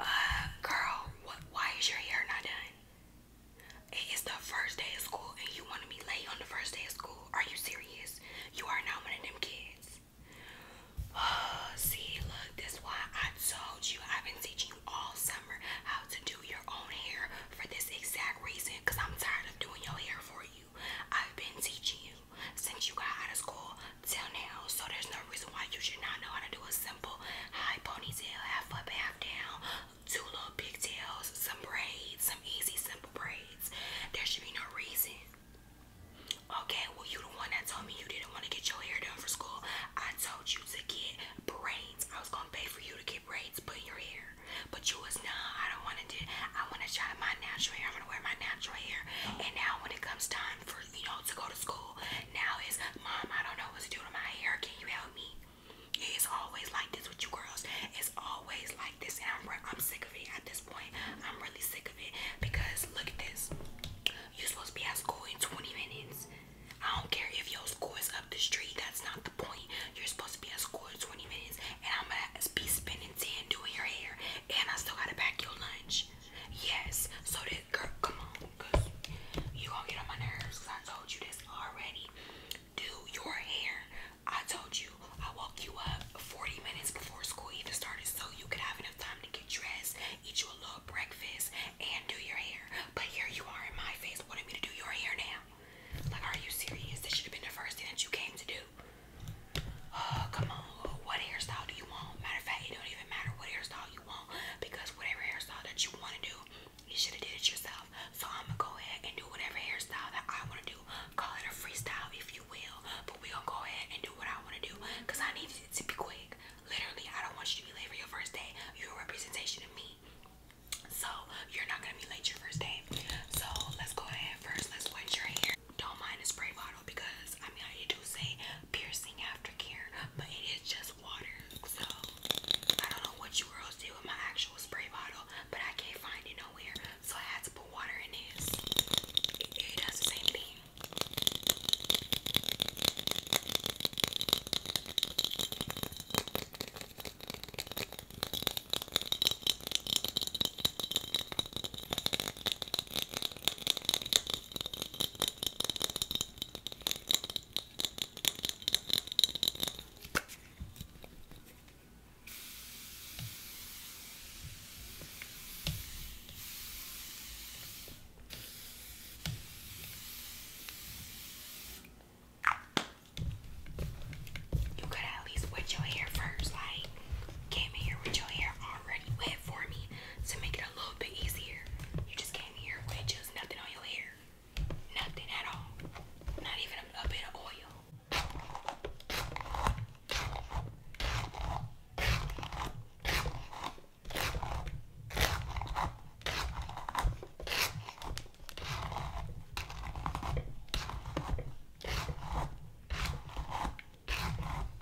Uh, girl, what? Why is your hair not done? It is the first day of school, and you want to be late on the first day of school. Are you serious? You are not one of them kids. Oh, see, look, that's why I told you I've been teaching you all summer how to do your own hair for this exact reason. Cause I'm tired of doing your hair for you. I've been teaching you since you got out of school till now. So there's no reason why you should not know how to do a simple high ponytail, half up, half down, two little pigtails, some braids, some easy, simple braids. There should be no reason. Okay, well you the one that told me you didn't want to get your hair done for school. I told you to get braids. I was gonna pay for you to get braids put in your hair. But you was no, nah, I don't wanna do I wanna try my natural hair. I'm gonna wear my natural hair. And now when it comes time for hours, you know, to go to school. Now it's, Mom, I don't know what to do to my hair. Can you help me? It's always like this with you girls. It's always like this. And I'm, I'm sick of it at this point. I'm really sick of it because look at this. You're supposed to be at school in 20 minutes. I don't care if your school is up the street. That's not the point. You're supposed to be at school in 20 minutes. And I'm going to be spending 10 doing your hair. And I still got to pack your lunch. Yes. So did girl, come on, cause you gonna get on my nerves. Cause I told you this already. Do your hair. I told you I woke you up 40 minutes before school even started, so you could have enough time to get dressed, eat you a little breakfast, and do your hair. But here you are in my face wanting me to do your hair now. Like, are you serious? This should have been the first thing that you came to do. Oh, come on. What hairstyle do you want? Matter of fact, it don't even matter what hairstyle you because whatever hairstyle that you want to do, you should have did it yourself. So I'm gonna go ahead and do whatever hairstyle that I want to do. Call it a freestyle if you will, but we gonna go ahead and do what I want to do because I need it to be quick. Literally, I don't want you to be late for your first day. You're a representation of me. So you're not gonna be late your first day. So let's go ahead first. Let's wet your hair. Don't mind the spray bottle because I mean I do say piercing aftercare, but it is just water. So I don't know what you girls did with my actual spray bottle, but I can't find it nowhere. So I had to put water in this. it does the same thing. You gotta at least wet your hair first. Like, came here with your hair already wet for me to make it a little bit easier. You just came here with just nothing on your hair. Nothing at all. Not even a bit of oil.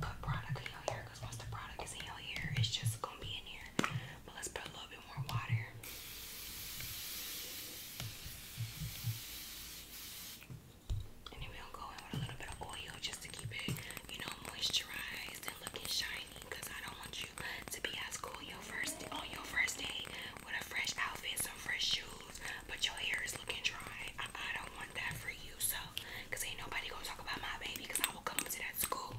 like product in your hair because once the product is in your hair, it's just gonna be in here. But let's put a little bit more water. And then we'll go in with a little bit of oil just to keep it, you know, moisturized and looking shiny. Cause I don't want you to be at school on your first day with a fresh outfit, some fresh shoes but your hair is looking dry. I, don't want that for you, so ain't nobody gonna talk about my baby I will come to that school.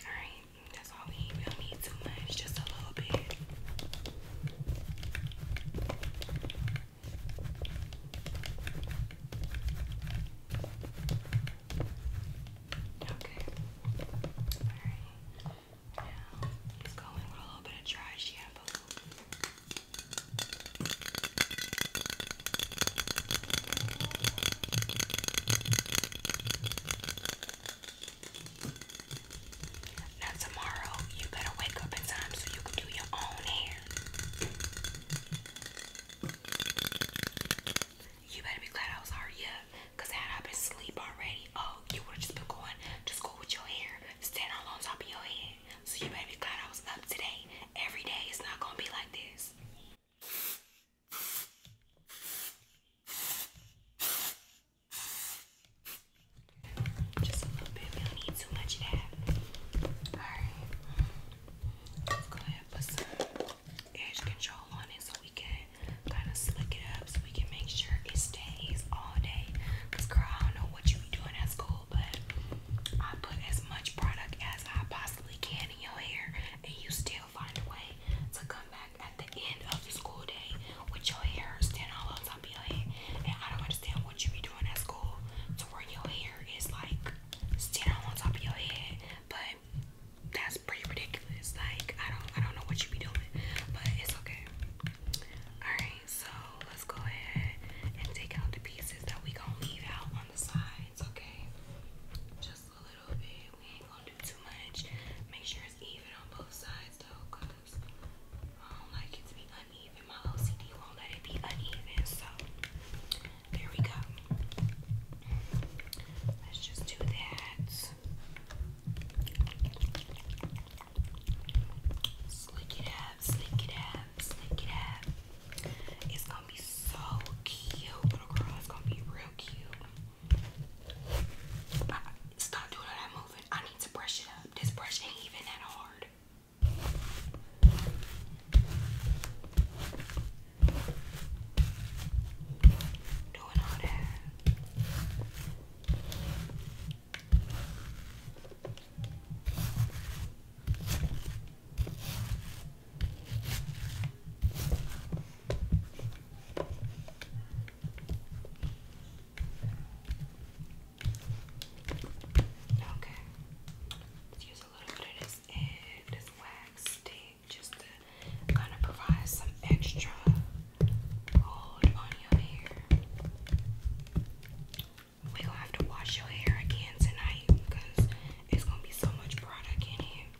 Alright, that's all we need. don't need too much, just a little bit. Okay. Alright. Now let go in with a little bit of dry shampoo. Now tomorrow you better wake up in time so you can do your own hair. You better be glad I was already up, had I been asleep already, oh, you would just been going to school with your hair standing all on top of your head. So you better be glad I was up today. Every day it's not gonna be like this. Just a little bit. We don't need too much of that. Alright. Let's go ahead put some edge control on it so we can kind of slick it up so we can make sure it stays all day. Because, girl, I don't know what you be doing at school, but I put as much product as I possibly can in your hair and you still find a way to come back at the end of the school day with your hair standing all on top of your head. And I don't understand what you be doing at school to where your hair is like standing on top of your head, but that's pretty ridiculous. Like I don't I don't know what you be doing, but it's okay. Alright, so let's go ahead and take out the pieces that we gonna leave out on the sides, okay? Just a little bit. We ain't gonna do too much. Make sure it's even on both sides though, I don't like it to be uneven. My OCD won't let it be uneven, so there we go. Let's just do that. Slick it up, slick it up, slick it up. It's gonna be so cute, little girl. It's gonna be real cute. Stop doing all that moving. I need to brush it up. This brush ain't even that hard. Doing all that. Okay. let use a little bit of this and this wax stick just to kind of provide some extra hold on your hair. we gonna have to wash your hair again tonight because it's gonna be so much product in it.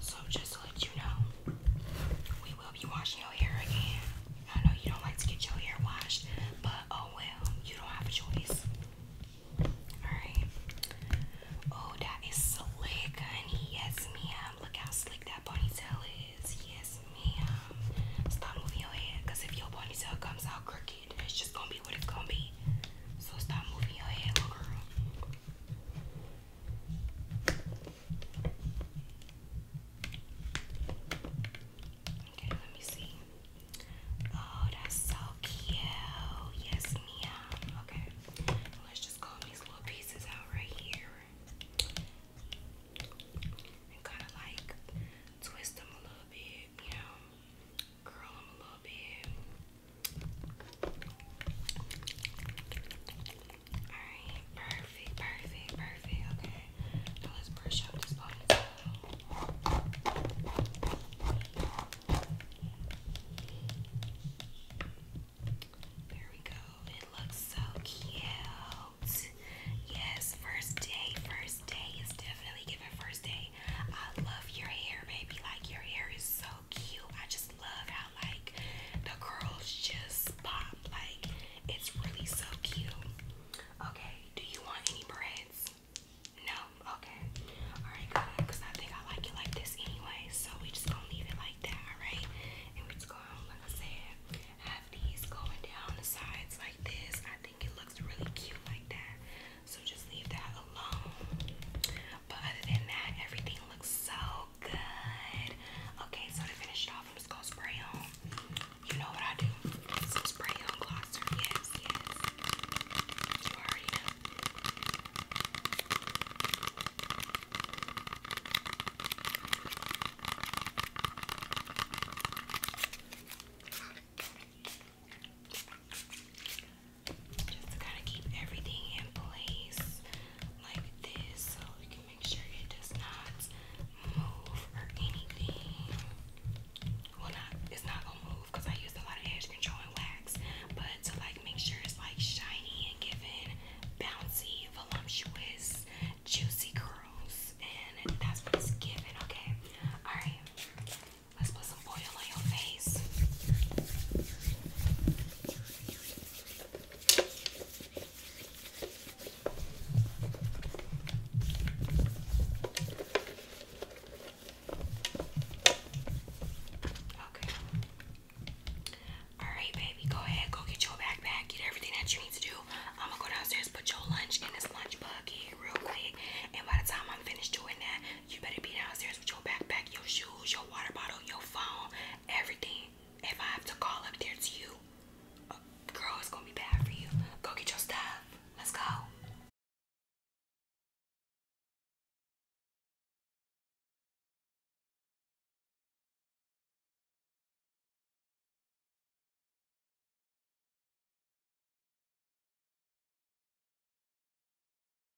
So just to let you know, we will be washing your hair again. I know you don't like to get your hair washed, but oh well, you don't have a choice. Alright. Oh, that is slick, honey. Yes, ma'am. Look how slick that ponytail is. Yes, ma'am. Stop moving your head, because if your ponytail comes out crooked, it's just gonna be what it's gonna be. So stop moving your head, little girl. Okay, let me see. Oh, that's so cute. Yes, Mia. Okay, let's just comb these little pieces out right here and kind of like twist them a little bit, you know, curl them a little bit. Alright, perfect, perfect, perfect. Okay, now let's brush out this ponytail. There we go. It looks so cute. Yes, first day, first day is definitely given first day. I love your hair, baby. Like your hair is so cute. I just love like the curls just pop. Like it's really so cute. Okay, do you want any braids? No? Okay. Alright, good. Because I think I like it like this anyway. So we just gonna leave it like that, alright? And we're just gonna, like I said, have these going down the sides like this. I think it looks really cute like that. So just leave that alone. But other than that, everything looks so good. Okay, so to finish it off, I'm just gonna spray on. You know what I do? spray on glosser. Yes, yes. You already know. Just to kind of keep everything in place like this so we can make sure it does not move or anything. Well, not it's not gonna move I used a lot of edge control wax, but to like make sure it's like shiny and giving bouncy, voluptuous, juicy curls, and that's what it's giving. Okay, all right. Let's put some oil on your face. Okay. Alright, baby, go ahead, go get your backpack, get everything that you need to do. I'm gonna go downstairs, put your lunch in this lunch bucket real quick. And by the time I'm finished doing that, you better be downstairs with your backpack, your shoes, your water bottle, your phone, everything if I have to call up there to you, girl, it's gonna be bad for you. Go get your stuff. Let's go.